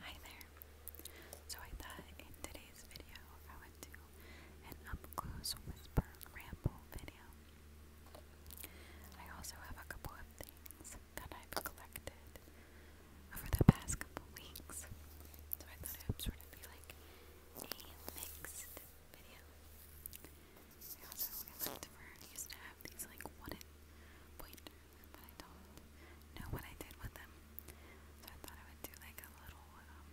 Hi there. So I thought in today's video I would do an up close whisper ramble video. I also have a couple of things that I've collected over the past couple weeks. So I thought it would sort of be like a mixed video. also I looked used to have these like wooden pointers but I don't know what I did with them. So I thought I would do like a little um,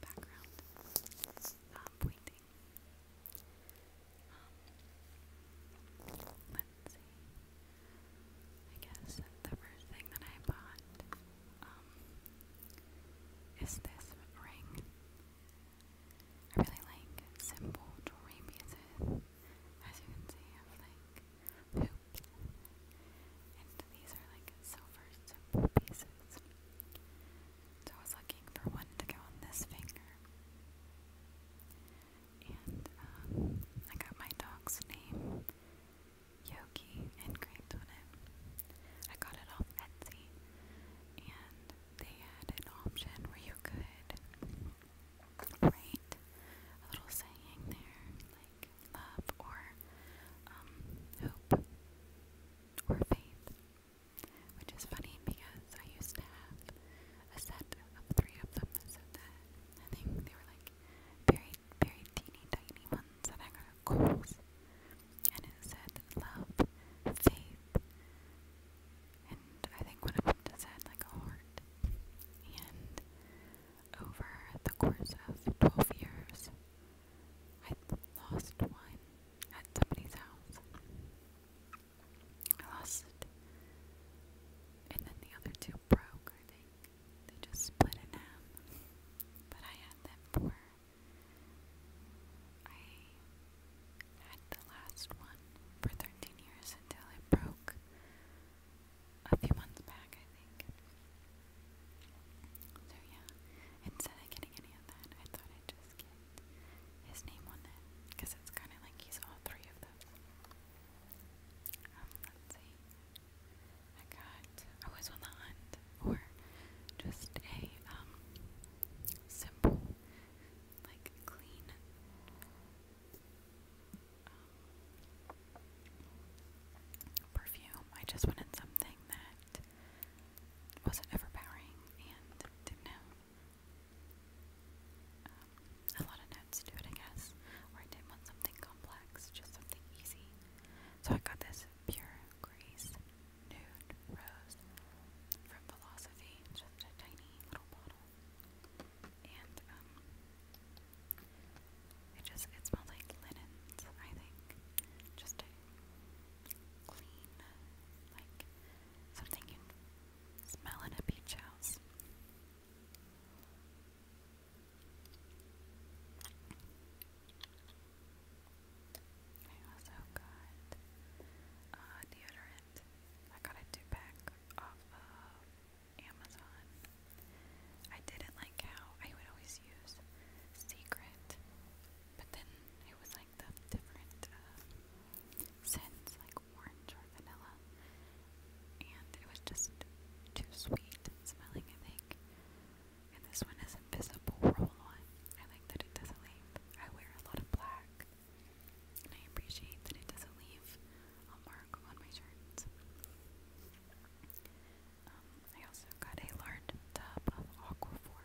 background um, pointing. Um, let's see. I guess the first thing that I bought um, is this ring. I really like simple jewelry as you can see, of like hoops, and these are like silver simple pieces. So I was looking for one to go on this finger, and um, I got my dog's name. Yogi engraved on it. I got it off Etsy, and they had an option where you could right? A little saying there, like love or um, hope or faith, which is funny because I used to have a set of three of them that said that. I think they were like very, very teeny tiny ones that I got at Kohl's, and it said love, faith, and I think one of them does have like a heart. And over the course of 12 years, I lost one at somebody's house. I lost it. And then the other two broke, I think. They just split in half. But I had them for. I had the last one for 13 years until it broke a few months back, I think. So, yeah, instead of getting any of that, I thought I'd just get his name on it because it's kind of like he's all three of them. Um, let's see. I got I was on the hunt for just a um simple like clean um, perfume. I just wanted something that wasn't overpowering and didn't have um, a lot of notes I guess. Or I didn't want something complex, just something easy. So I got this Pure Grace Nude Rose from Philosophy, just a tiny little bottle. And um, it just it smells like linens, I think. Just clean like something you smell in a beach house. I also got uh, deodorant. I got a two pack off of Amazon. I didn't like how I would always use Secret, but then it was like the different uh, scents, like orange or vanilla, and it was just too sweet smelling, I think. And this one is this roll on. I like that it doesn't leave. I wear a lot of black, and I appreciate that it doesn't leave a mark on my shirts. Um, I also got a large tub of Aquaphor.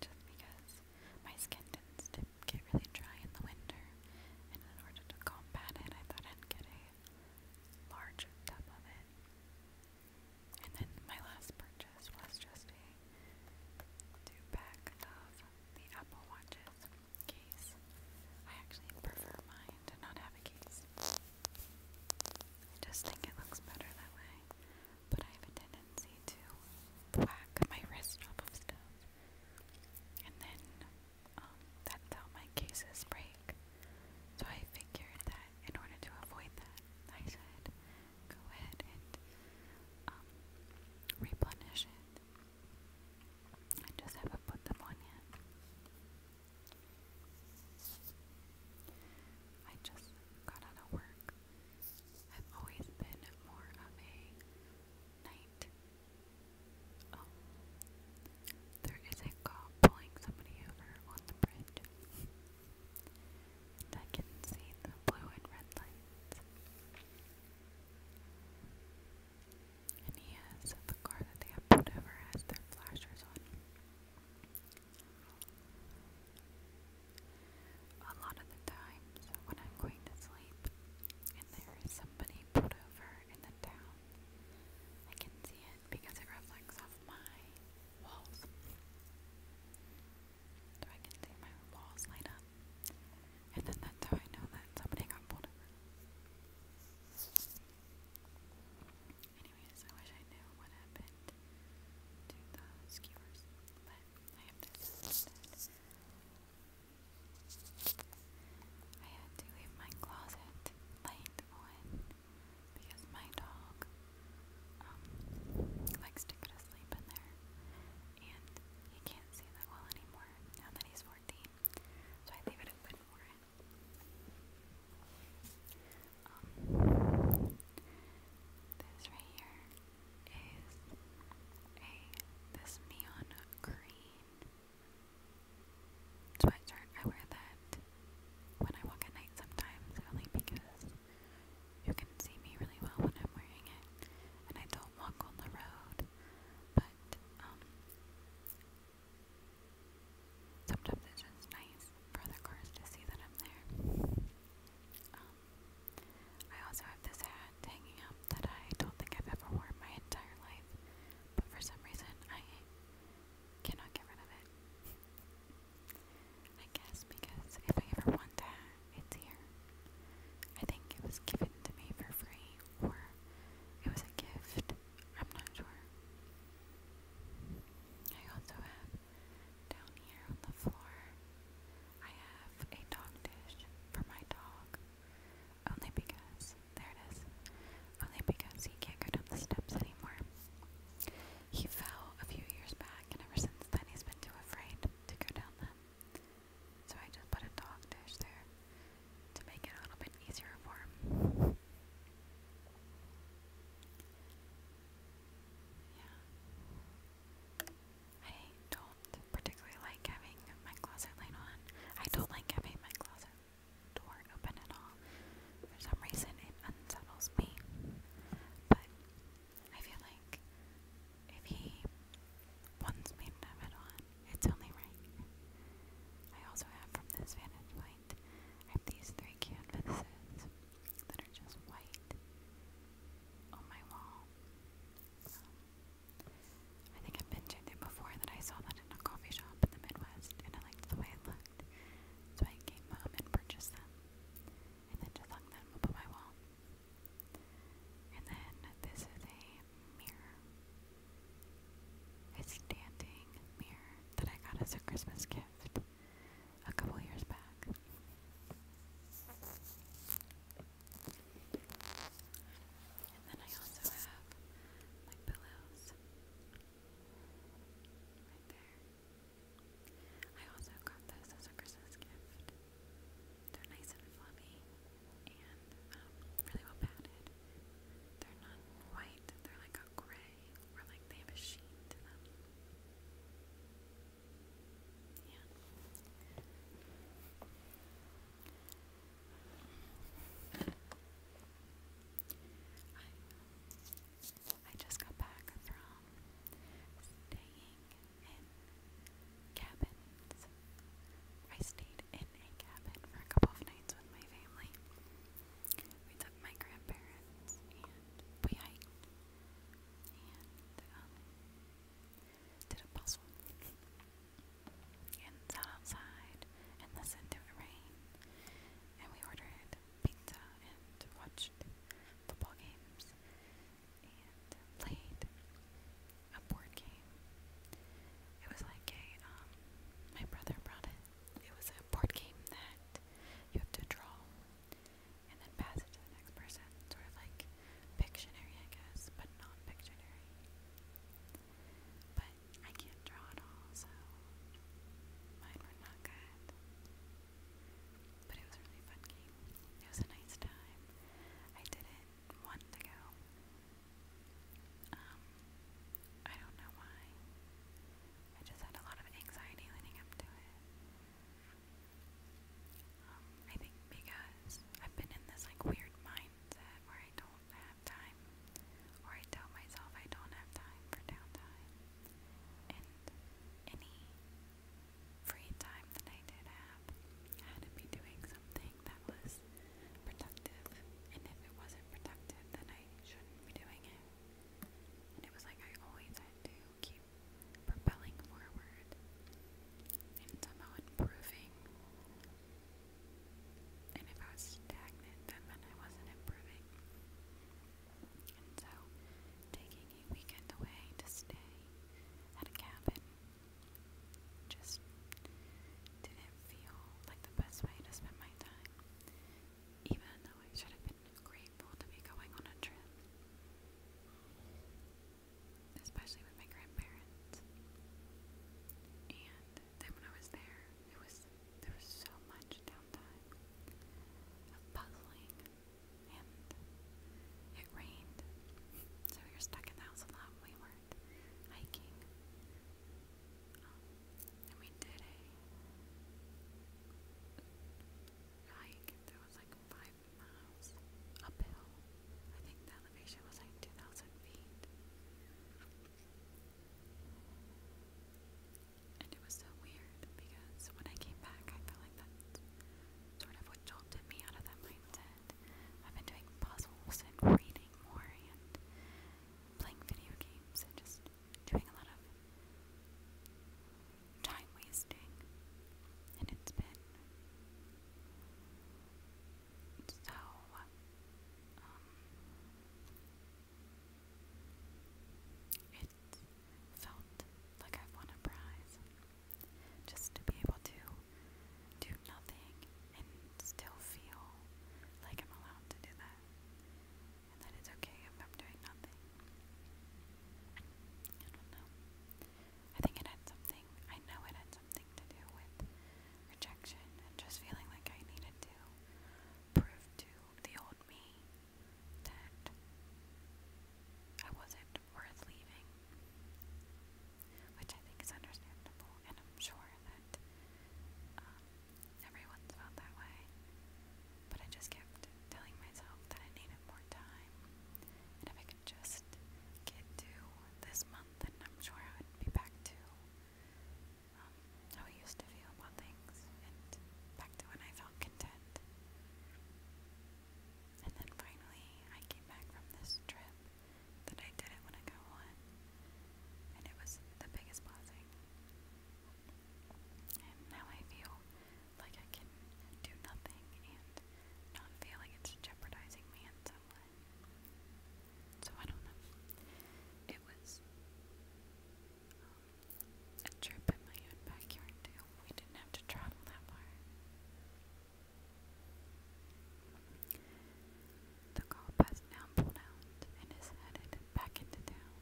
Just because my skin tends to get really dry in the winter, and in order to combat it, I thought I'd get a large tub of it. And then my last purchase was just a two pack of the Apple Watches case. I actually prefer mine to not have a case. I just think it looks better that way. But I have a tendency to whack my wrist off of stuff and then um, that's my cases break. So I figured that in order to avoid that, I should go ahead and um, replenish it. I just haven't put them on yet. I just got out of work. I've always been more of a night Oh, there is a cop pulling somebody over on the bridge. I can see the blue and red lights. And he the car that they have pulled over has their flashers on. A lot of the times when I'm going to sleep, and there is somebody put over in the town. I can see it because it reflects off my walls. So I can see my walls light up. And then that's how I know that somebody got pulled over. Anyways, I wish I knew what happened to the skewers, but I have this I had to leave my closet light on because my dog um, likes to go to sleep in there and he can't see that well anymore now that he's 14, so I leave it open for him. Um, this right here is a this neon green sweatshirt. I wear that when I walk at night sometimes, only because you can see me really well when I'm wearing it, and I don't walk on the road. But um, sometimes it's just nice for other cars to see that I'm there. Um, I also have this hat hanging up that I don't think I've ever worn my entire life, but for some reason I cannot get rid of it. I guess because if I ever want a hat, it's here. I think it was given to me for free, or it was a gift. I'm not sure. I also have down here on the floor. I have a dog dish for my dog. Only because, there it is, only because he can't go down the steps anymore. He fell a few years back, and ever since then he's been too afraid to go down them. So I just put a dog dish there to make it a little bit easier for him. Yeah. I do particularly like having my closet light on. I don't like having my closet door open at all. For some reason, it unsettles me. But I feel like if he wants me to have it on, it's only right. I also have from this vantage point, I have these three canvases that are just white on my wall. Um, I think I've mentioned it before that I saw that in a coffee shop in the Midwest and I liked the way it looked. So I came home and purchased them and then just hung them up on my wall. And then this is a mirror. A standing mirror that I got as a Christmas gift a couple years back. And then I also have my pillows right there. I also got those as a Christmas gift. They're nice and fluffy and um, really well padded. They're not white, they're like a gray, or like they have a sheen to them. Yeah. I, just got back from staying in cabins. I stayed in a cabin for a couple of nights with my family. We my grandparents and we hiked um, did a puzzle and sat outside and listened to it rain. And we ordered pizza and watched football games and played a board game. It was like a, um, my brother brought it. It was a board game that you have to draw and then pass it to the next person. Sort of like Pictionary, I guess, but not Pictionary. But I can't draw at all, so mine were not good. But it was a really fun It was a nice time. I did it once ago. Um, I don't know why. I just had a lot of anxiety leading up to it. Um, I think because I've been in this like weird mindset where I don't have time, or I tell myself I don't have time for downtime, and any free time that I did have, I had to be doing something that was productive, and if it wasn't productive, then I shouldn't be doing it. And it was like I always had to keep propelling forward and somehow improving. And if I was stagnant, that meant I wasn't improving. And so, taking a weekend away to stay at a cabin just didn't feel like the best way to spend my time, even though I should have been grateful to be going on a trip. Especially with my grandparents. And then when I was there, it was there was so much downtime puzzling and it rained. So we were stuck in the house a lot. We weren't hiking. Um, I mean, did a hike that was like five miles uphill. I think the elevation was like 2,000 feet. And it was so weird because when I came back, I felt like that's sort of what jolted me out of that mindset. I've been doing puzzles and reading more and playing video games and just doing a lot of time wasting, and it's been so um, it felt like i won a prize just to be able to do nothing and still feel like I'm allowed to do that that it's okay if I'm doing nothing. I don't know. I think it had something, I know it had something to do with rejection and just feeling like I needed to prove to the old me that I wasn't worth leaving. Which I think is understandable, and I'm sure that um, Everyone's felt that way. But I just kept telling myself that I needed more time. And if I could just get to this month, then I'm sure I would be back to um, how I used to feel about things and back to when I felt content. And then finally, I came back from this trip that I didn't want to go on. And it was the biggest blessing. And now I feel like I can do nothing and not feel like it's jeopardizing me in some way. So I don't know. It was um, a trip in my own backyard too. We didn't have to travel that far. The cop has now pulled out and is headed back into town.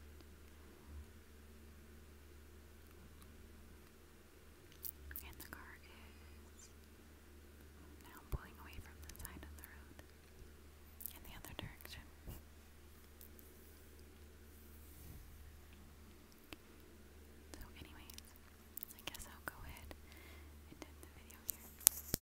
And the car is now pulling away from the side of the road in the other direction. So anyways, I guess I'll go ahead and end the video here.